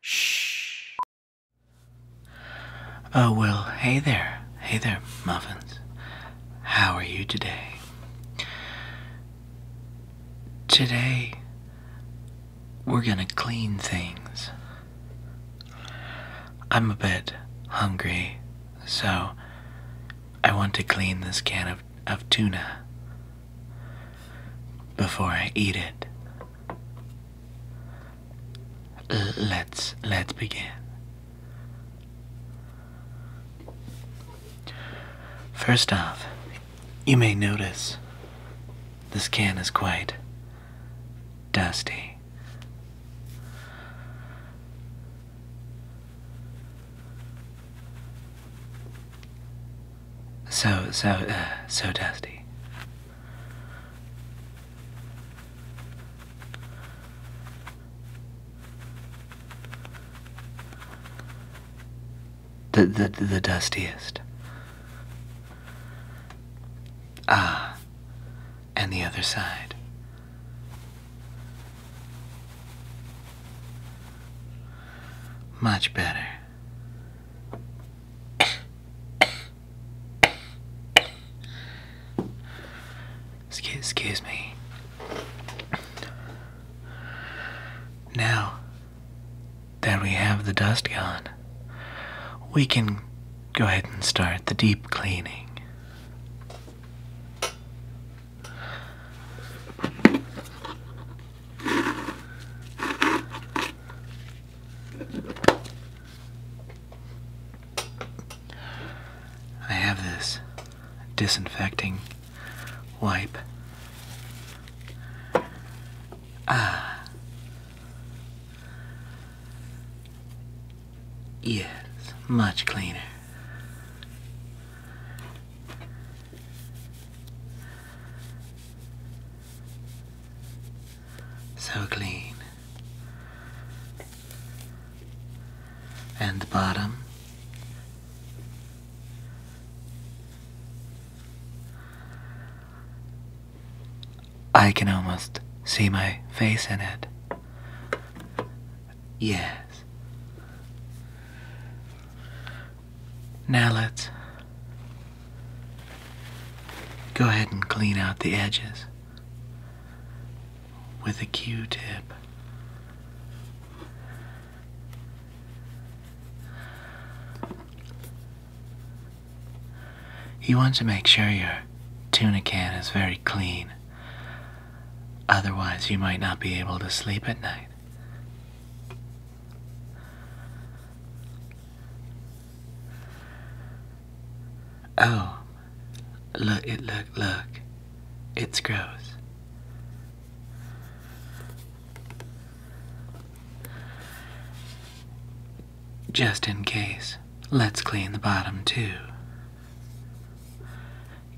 Shh. Oh, well, hey there. Hey there, Muffins. How are you today? Today, we're gonna clean things. I'm a bit hungry, so I want to clean this can of, of tuna before I eat it let's let's begin. First off, you may notice this can is quite dusty. So so uh, so dusty. The, the, the dustiest. Ah, and the other side. Much better. Excuse, me. Now that we have the dust gone, we can go ahead and start the deep cleaning. I have this disinfecting wipe. Ah. Yes, much cleaner. So clean. And the bottom. I can almost see my face in it. Yes. Now let's go ahead and clean out the edges with a Q-tip. You want to make sure your tuna can is very clean. Otherwise, you might not be able to sleep at night. Oh, look it look look. It's gross. Just in case, let's clean the bottom too.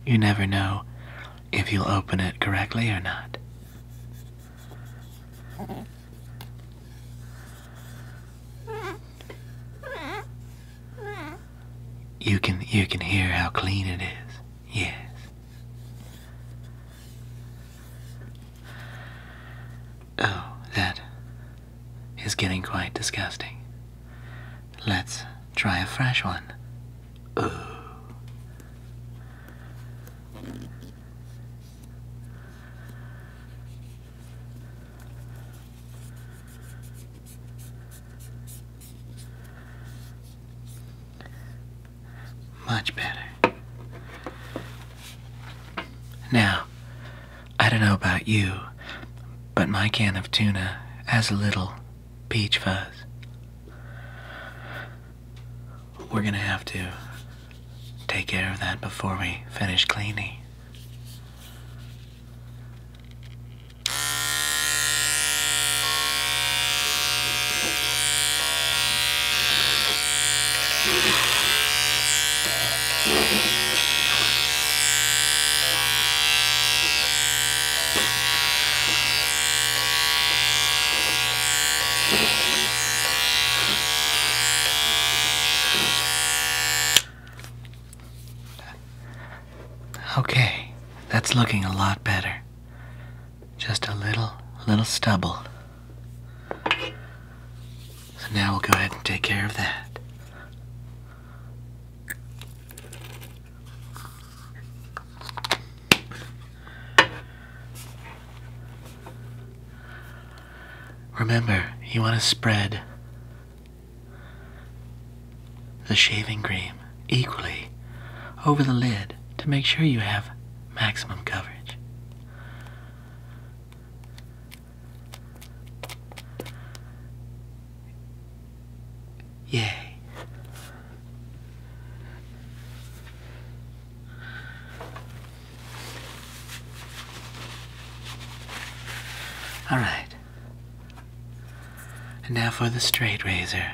You never know if you'll open it correctly or not. You can you can hear how clean it is. Yes. Oh, that is getting quite disgusting. Let's try a fresh one. Oh. Much better. Now, I don't know about you, but my can of tuna has a little peach fuzz. We're gonna have to take care of that before we finish cleaning. Okay, that's looking a lot better. Just a little, little stubble. So now we'll go ahead and take care of that. Remember, you want to spread the shaving cream equally over the lid to make sure you have maximum coverage. Yay. All right. And now for the straight razor.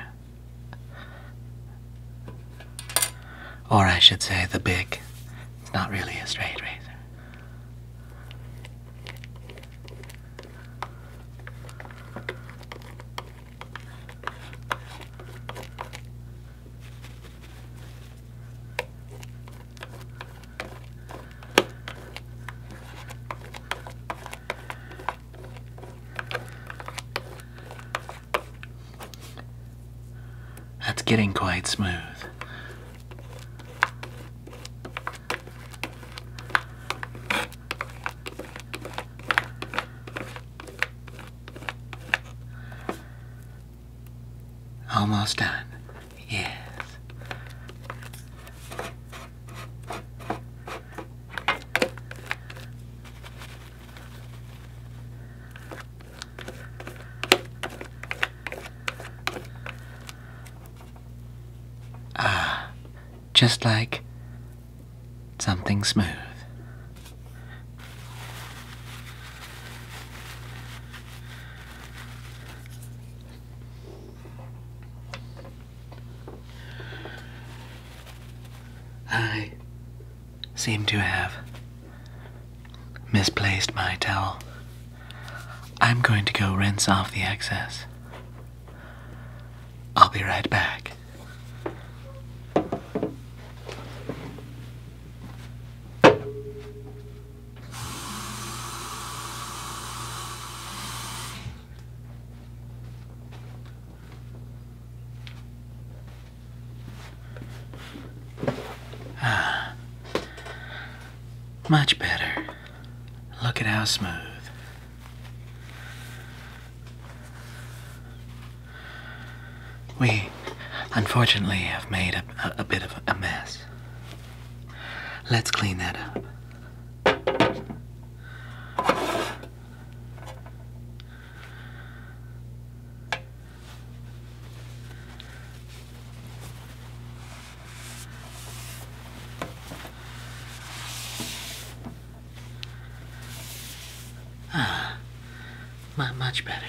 Or I should say, the big. It's not really a straight razor. That's getting quite smooth. Almost done. Yes. Ah, just like something smooth. I seem to have misplaced my towel. I'm going to go rinse off the excess. I'll be right back. Ah, much better. Look at how smooth. We unfortunately have made a, bit of a mess. Let's clean that up. Ah, much better.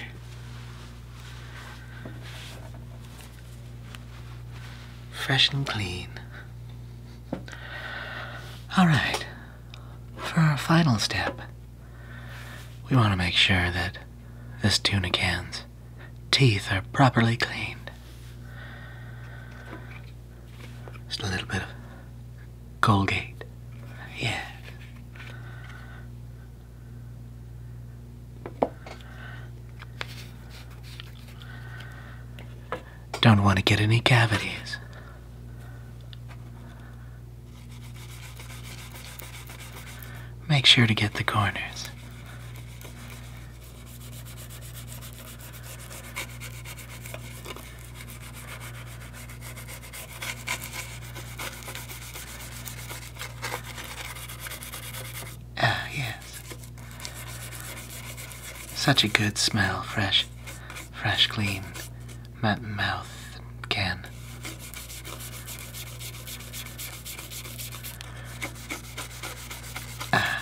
Fresh and clean. All right, for our final step, we want to make sure that this tuna can's teeth are properly cleaned. Just a little bit of Colgate. Yeah. Don't want to get any cavities. Make sure to get the corners. Ah, yes. Such a good smell, fresh, fresh clean mouth can. Ah.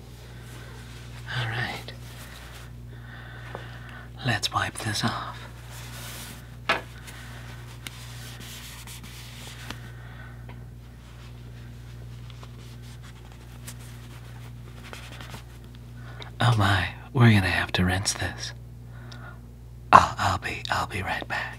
Alright. Let's wipe this off. Oh my, we're gonna have to rinse this. I'll, be, I'll be right back.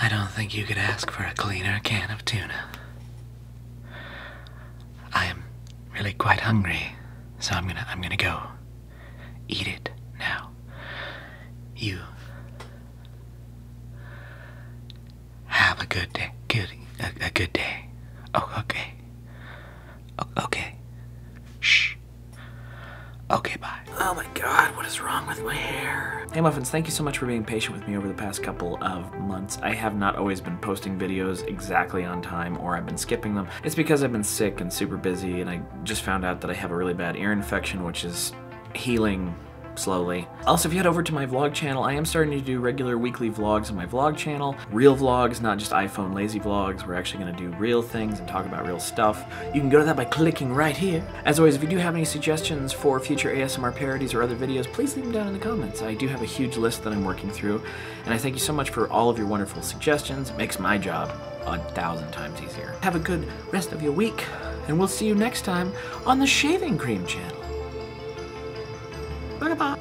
I don't think you could ask for a cleaner can of tuna. I am really quite hungry, so I'm gonna I'm gonna go eat it now. You have a good day. Good a, good day. Oh, okay. okay. Shh. Okay, bye. Oh my god, what is wrong with my hair? Hey Muffins, thank you so much for being patient with me over the past couple of months. I have not always been posting videos exactly on time or I've been skipping them. It's because I've been sick and super busy and I just found out that I have a really bad ear infection which is healing slowly. Also, if you head over to my vlog channel, I am starting to do regular weekly vlogs on my vlog channel. Real vlogs, not just iPhone lazy vlogs. We're actually going to do real things and talk about real stuff you can go to that by clicking right here. As always, if you do have any suggestions for future ASMR parodies or other videos, please leave them down in the comments. I do have a huge list that I'm working through, and I thank you so much for all of your wonderful suggestions. It makes my job a thousand times easier. Have a good rest of your week, and we'll see you next time on the Shaving Cream channel. Bye-bye.